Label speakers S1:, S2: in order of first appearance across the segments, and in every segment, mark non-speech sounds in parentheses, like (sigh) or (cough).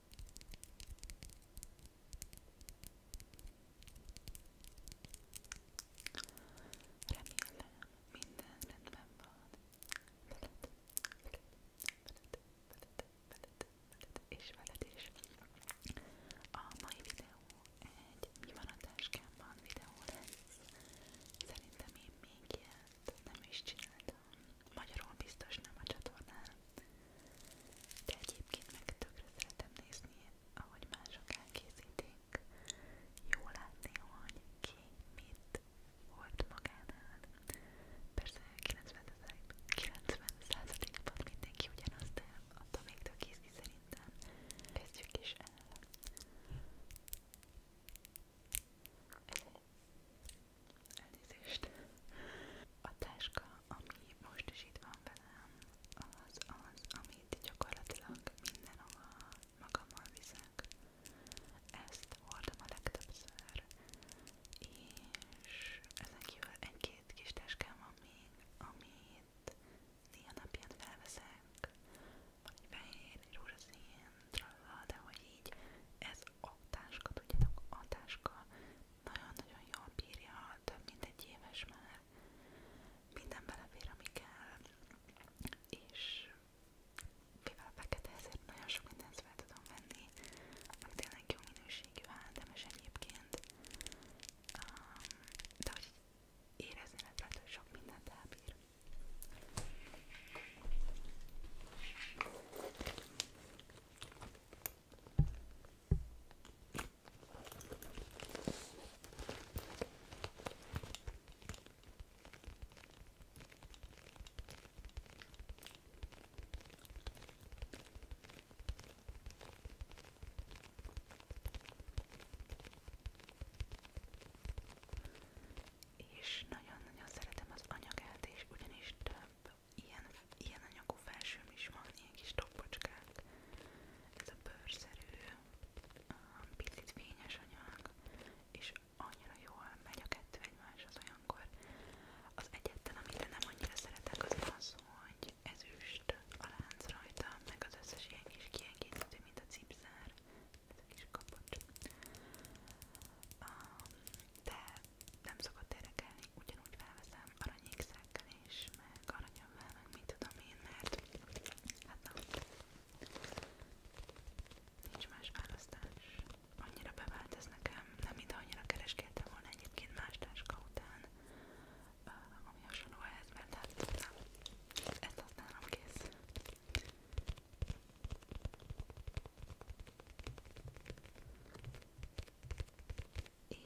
S1: Remélem, minden rendben van veled, veled, veled, veled, veled, veled és veled is. A mai videó egy mi van a táskámban videó lesz. Szerintem én még ilyet nem is csináltam. Magyarul biztos nem a csatornán. De egyébként meg tökre szeretem nézni, ahogy mások elkészítik. Jó látni, hogy ki mit volt magánál. Persze 90%-ban mindenki ugyanaz, de attól még tök ízgi szerintem. Kezdjük is el. Ez Elnézést. A táska, ami most is itt van velem, az az, amit gyakorlatilag mindenhova magammal viszek. Ezt hordom a legtöbbször, és ezen kívül egy-két kis táskám van még, amit néha napján felveszek, van egy fehér, egy rózsaszín, tralla, de hogy így ez a táska, tudjátok, a táska nagyon-nagyon jól bírja, több mint egy éves már, minden belefér, ami kell, és mivel fekete, ezért nagyon sok mindent fel tudom venni, meg tényleg jó minőségű háttemes egyébként, um, de hogy érezni lehet, lehet, hogy sok mindent elbír. És nagyon-nagyon szeretem az anyagát, és ugyanis több ilyen, ilyen anyagú felsőm is van, ilyen kis toppocskák. Ez a bőrszerű, um, picit fényes anyag, és annyira jól megy a kettő egymáshoz olyankor. Az egyetlen, amire nem annyira szeretek, az az, hogy ezüst a lánc rajta, meg az összes ilyen kis kiegészítő, mint a cipzár, ez a kis kapocs. Um, de nem szokott érdekelni, ugyanúgy felveszem aranyékszekkel is, meg aranyammal, meg mit tudom én, mert hát na, nincs más választás. Annyira bevált ez nekem, nem ide annyira kereskedtem volna egyébként más táska után, ami hasonló ehhez, mert hát nem, ezt használom kész és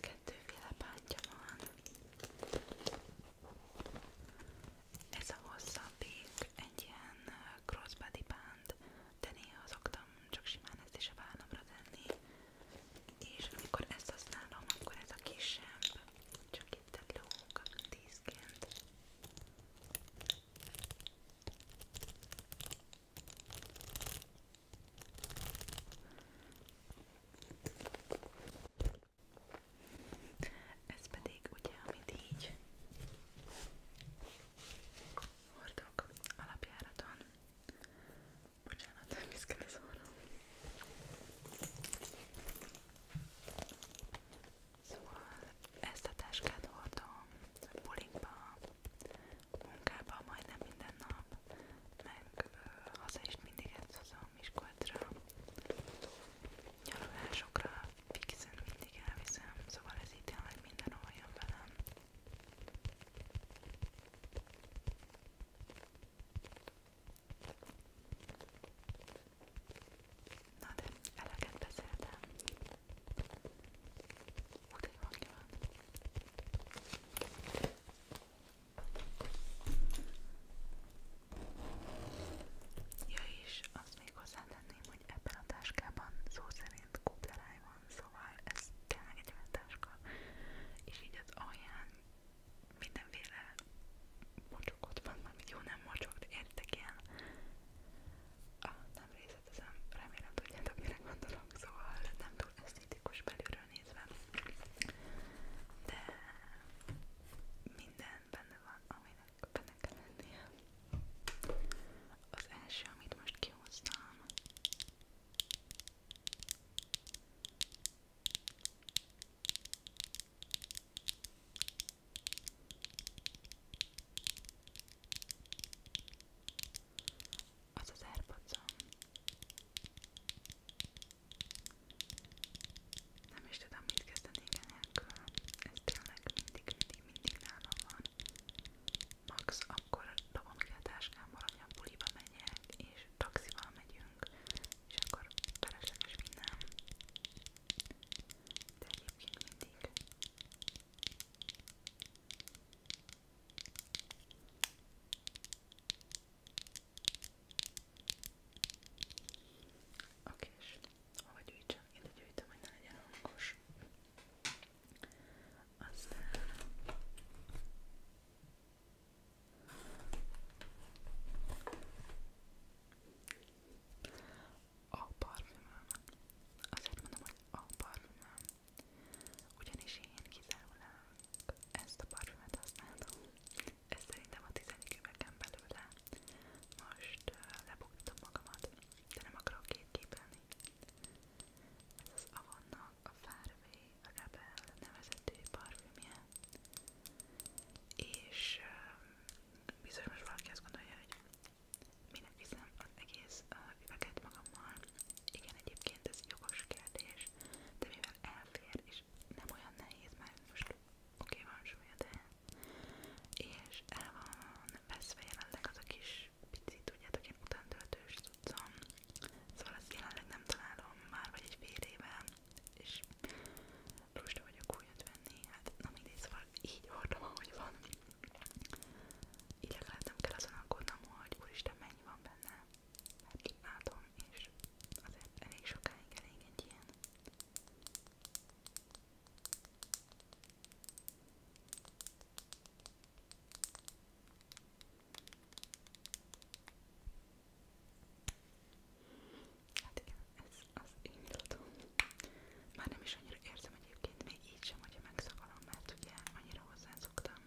S1: kettőféle pántja van. Ez a hosszabbik egy ilyen crossbody pánt, de néha szoktam csak simán ezt is a vállamra tenni, és amikor ezt használom, akkor ez a kisebb, csak itt a lóg, tízként. Ez pedig ugye, amit így hordok alapjáraton. Bocsánat, nem viszkel az orrom. Szóval ezt a táskát hordom bulikba, munkába majdnem minden nap, meg ö, haza is mindig ezt hozom Miskolcra, nyaralásokra fixen mindig elviszem, szóval ez így tényleg mindenhol jön velem. Na de eleget beszéltem. Úgy hangja van. Ja és azt még hozzátenném, hogy ebben a táskában szó szerint kupleláj van, szóval ez tényleg egy olyan táska. És így az alján mindenféle mocsokot van, mármint jó nem mocsok, de értek ilyen a ah, nem kifizetem, remélem tudjátok mire gondolok, szóval nem túl esztétikus belülről nézve, de minden benne van, aminek benne kell lennie. Az első, amit most kihoztam, az az airpods Nem is tudom mit kezdenék enélkül. Ez tényleg mindig, mindig, mindig nálam van. Max akkor dobom ki a táskámba, hogy a buliba megyek, és taxival megyünk, és akkor felesleges minden. De egyébként mindig Oké, és hova gyűjtsem? Ide gyűjtöm, hogy ne legyen hangos. Aztán a parfümömön. Azért mondom, hogy a parfümöm. Ugyanis én kizárólag ezt a parfümöt használtam. Ez szerintem a tizedik üvegem belőle. Most uh, lebuktatom magamat, de nem akarok kétképelni. Ez az Avonnak a Fairway Rebel nevezetű parfümje. És uh, biztos most valaki azt gondolja, hogy Minek viszem az egész uh, üveget magammal? Igen, egyébként ez jogos kérdés, de mivel elfér, és nem olyan nehéz, már most oké okay, van súlya, de és el van veszve jelenleg az a kis pici, tudjátok, én utántöltős tudtam, szóval ezt jelenleg nem találom már, vagy egy fél éve, és lusta vagyok újat venni, hát na mindegy, szóval így hordom, ahogy van, így legalább nem kell azon aggódnom, hogy úristen mennyi van benne, mert hát látom, és azért elég sokáig elég egy ilyen. Hát igen, ez az indulatom. Már nem is annyira érzem egyébként, még így sem, hogyha megszakadom, mert ugye annyira hozzászoktam.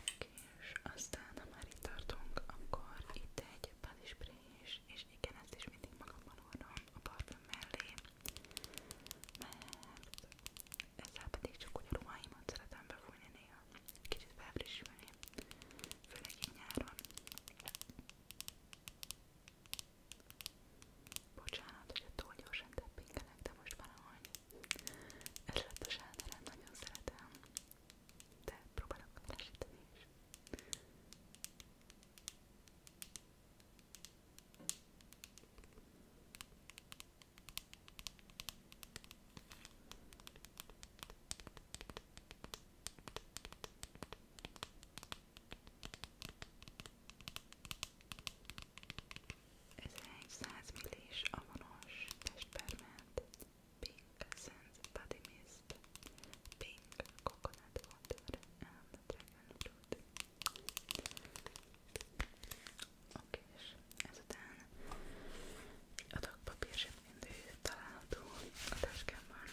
S1: Oké, és aztán, ha már itt tartunk, akkor itt egy palispray is, és igen, ezt is mindig magamban hordom a parfüm mellé, mert ezzel pedig csak úgy a ruháimat szeretem befújni néha, kicsit felfrissülni, főleg így nyáron. Bocsánat, hogy túl gyorsan teppinkelek, de most van ahogy. Ez lett a sáterem, nagyon szeretem, de próbálok lesíteni is. Ez egy 100 millis avonos testperment, Pink Sense Body Mist, Pink Coconut Water and Dragon Fruit. Oké, és ezután adok papír mindig található a táskámban,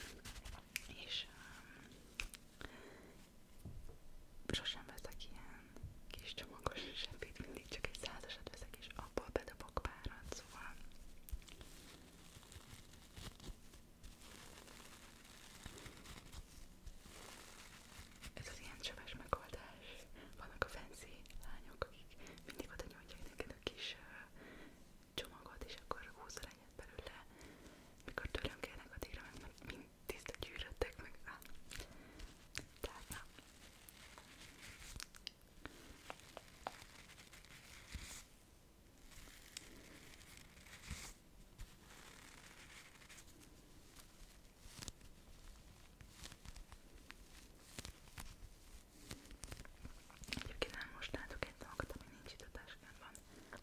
S1: és um, sosem veszek ilyen kis csomagos zsebét, mindig csak egy százasat veszek, és abból bedobok párat, szóval ez az ilyen csöves megoldás. Vannak a fancy lányok, akik mindig oda nyújtják neked a kis uh, csomagot, és akkor húzzal egyet belőle, mikor tőlem kérnek addigra, mert mind tiszta gyűröttek meg rá. Tehát na. Egyébként nem most látok egy dolgot, ami nincs itt a táskámban,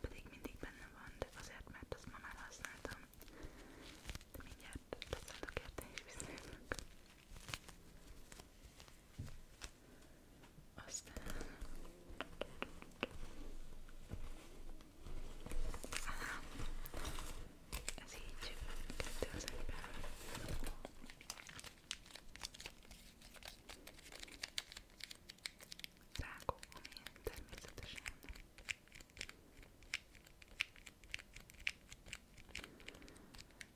S1: pedig mindig benne van, de azért, mert azt ma már használtam. De mindjárt tetszettek érte és visszajövök. Aztán... Aha. Ez így kettő az egyben. Rákok, ami természetesen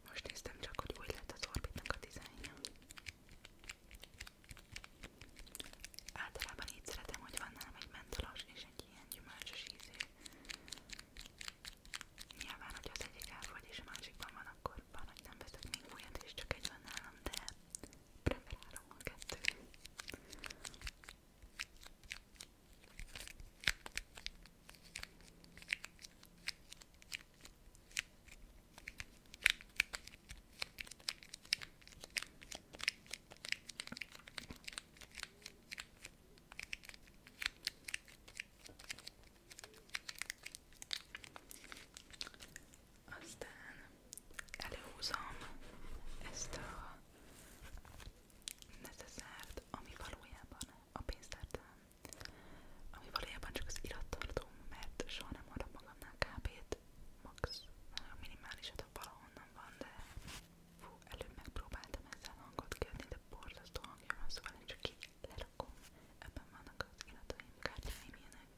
S1: most néztem csak, hogy úgy lett az orbitnak a dizájnja. Általában így szeretem, hogy van nálam egy mentolos és egy ilyen gyümölcsös ízű. Nyilván, hogy az egyik elfogy és a másikban van a akkor van, hogy nem veszek még újat, és csak egy van nálam, de preferálom a kettőt. Aztán előhúzom ezt a neceszárt, ami valójában a pénztárcám, ami valójában csak az irattartóm, mert soha nem adok magamnál kb-t, max nagyon minimálisat, hát ha valahonnan van, de fú, előbb megpróbáltam ezzel hangot kiadni, de borzasztó hangja van, szóval én csak így lerakom, ebben vannak az irataim, kártyáim ilyenek.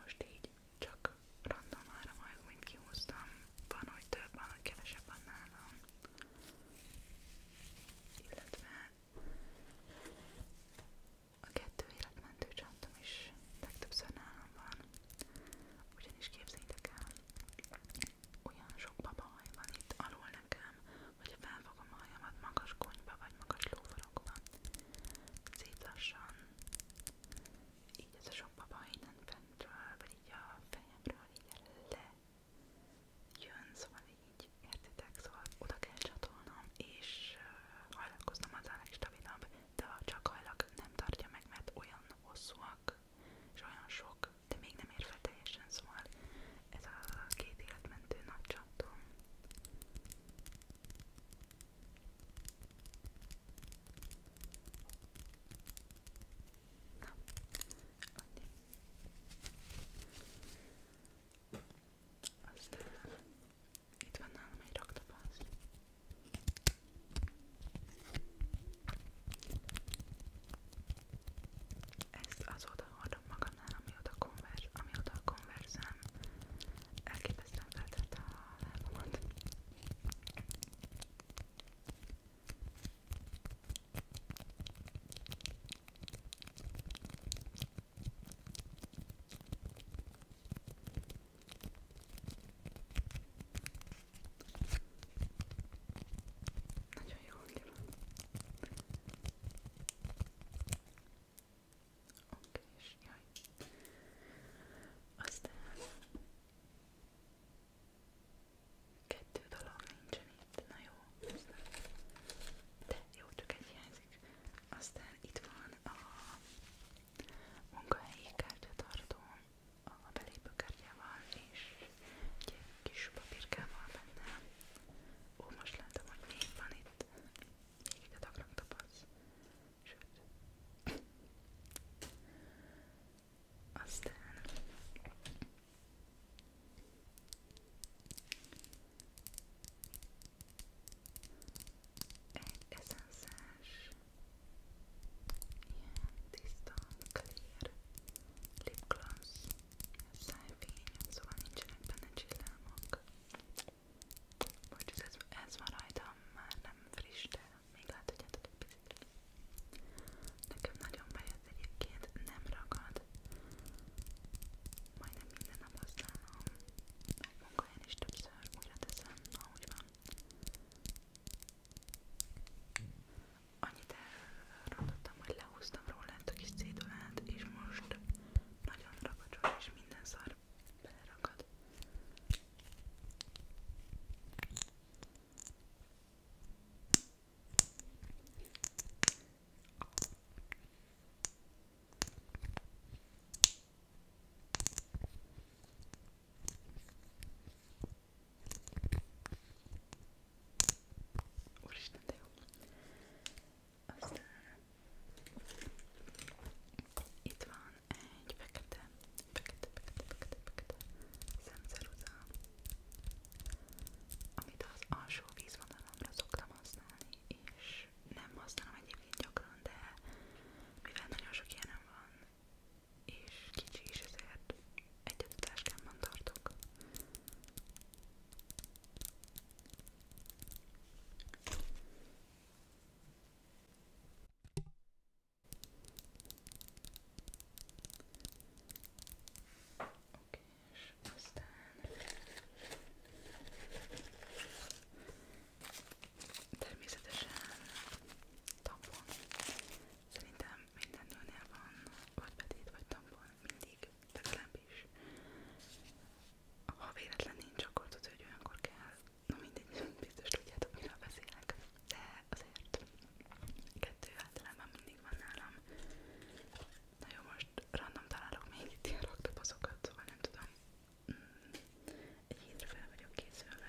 S1: Most így csak random ára majd, mint kihúztam, van, hogy több, van, hogy kevesebb van nálam. Illetve a kettő életmentő csantom is legtöbbször nálam van. Ugyanis képzeljétek el, olyan sok babahaj van itt alul nekem, hogyha felfogom a hajamat magas konyba vagy magas lófarokba, szép lassan, így ez a sok babahaj innen fentről, vagy így a fejemről így le jön, szóval így, értitek, szóval oda kell csatolnom, és hajlatkoznom az a legstabilabb de a csakhajlak nem tartja meg, mert olyan hosszúak, és olyan sok, de még nem ér fel teljesen, szóval ez a két életmentő nagy csatom. Na, annyi. Aztán itt van nálam egy raktapaszt. Ezt azóta hordom magamnál, amióta, konverz, amióta a konverzem elképesztően feltette a lábamat. Nagyon jó hangja van. Oké, és jaj. Aztán kettő dolog nincsen itt. Na jó, aztán. de jó, csak egy hiányzik. Aztán itt van a munkahelyi kártyatartón a belépőkártyával és egy kis papírkával benne. Ó, most látom, hogy még van itt. Még egy adagrag tapaszt. Sőt. Aztán egy eszenszes, ilyen tiszta, clear lip gloss, szájfény, szóval nincsenek benne csillámok. Vagy ez, ez van rajtam, már nem friss, de még lehet, hogy egy picit. Nekem nagyon bejött egyébként, nem ragad. Majdnem minden nap használom, meg munkahelyen is többször újra teszem, ahogy van. Annyit elrontottam, hogy lehúztam róla a kis cédulát, és most nagyon ragacsos, és minden szar beleragad. Úristen, de jó. Aztán itt van egy fekete, fekete, fekete, fekete, fekete szemceruza, amit az alsó vízvonalamra szoktam használni, és nem használom egyébként mint gyakran, de mivel nagyon sok ilyenem van, és kicsi is, ezért egyet a táskámban tartok. Oké, és aztán Természetesen tampon. Szerintem minden nőnél van, vagy betét, vagy tampon, mindig, legalábbis. Ha véletlen nincs, akkor tudod, hogy olyankor kell. Na mindegy, (laughs) biztos tudjátok, miről beszélek. De azért kettő általában mindig van nálam. Na jó, most random találok még itt ilyen raktaposzokat, szóval nem tudom. Egy hétre fel vagyok készülve.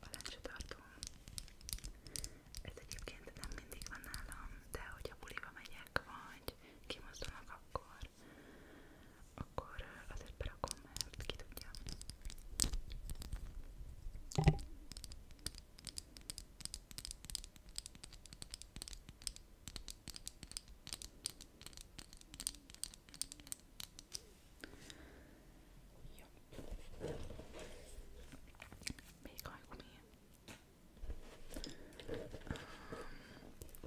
S1: A lencsetartó. Ez egyébként nem mindig van nálam, de hogyha buliba megyek, vagy kimozdulnak, akkor akkor azért berakom, mert ki tudja. Jó. Még hajgumi.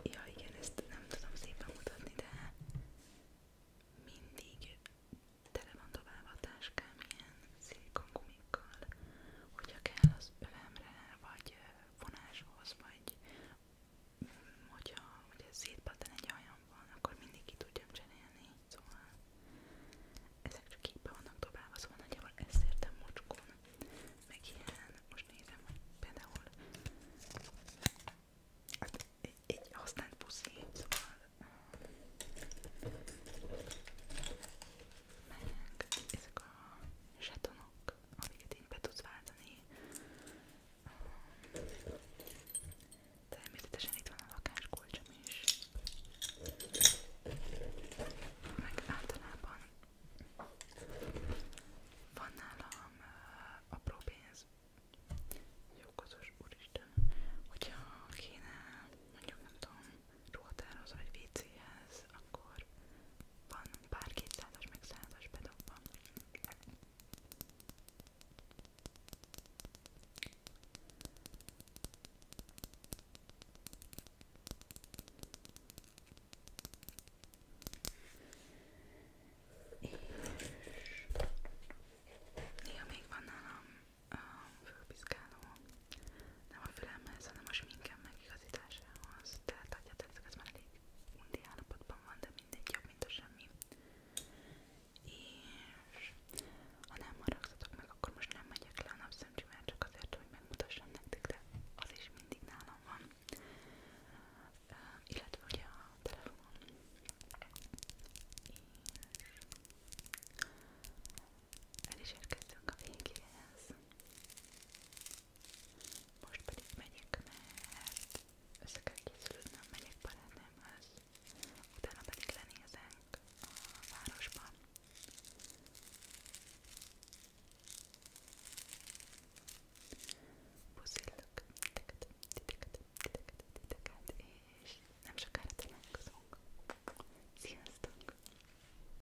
S1: Ja igen, ezt nem tudom szépen mutatni, de mindig tele van tovább a táskám ilyen szilikogumikkal, hogyha kell az övemre, vagy vonáshoz, vagy mm, hogyha ugye szétpattan egy ajamban, akkor mindig ki tudjam cserélni, szóval ezek csak képbe vannak dobálva, szóval nagyjából ezt értem mocskon, meg ilyen, most nézem, hogy például hát, egy, egy használt puszi, szóval eh, meg ezek a zsetonok amiket így be tudsz váltani. Természetesen itt van a lakáskulcsom is. Meg általában van nálam uh, apró pénz. Jókozos úristen, hogyha kéne mondjuk nem tudom ruhatároz vagy vécéhez, akkor van pár kétszázas, meg százas bedobban. És néha még van nálam a fölpiszkáló nem a fülemhez, hanem a sminkem megigazításához. Tehát adjátok, ez már elég undi állapotban van, de mindegy jobb, mint a semmi. És ha nem maradtatok meg, akkor most nem megyek le a napszemcsimel, csak azért, hogy megmutassam nektek, de az is mindig nálam van. Uh, illetve ugye a telefonon. És el is érkeztünk a végéhez. Most pedig megyek, mert össze kell készülnöm, megyek barátnőmhöz, utána pedig lenézünk a városban. Puszillok titeket, titeket, titeket, titeket, és nem sokára találkozunk. Sziasztok!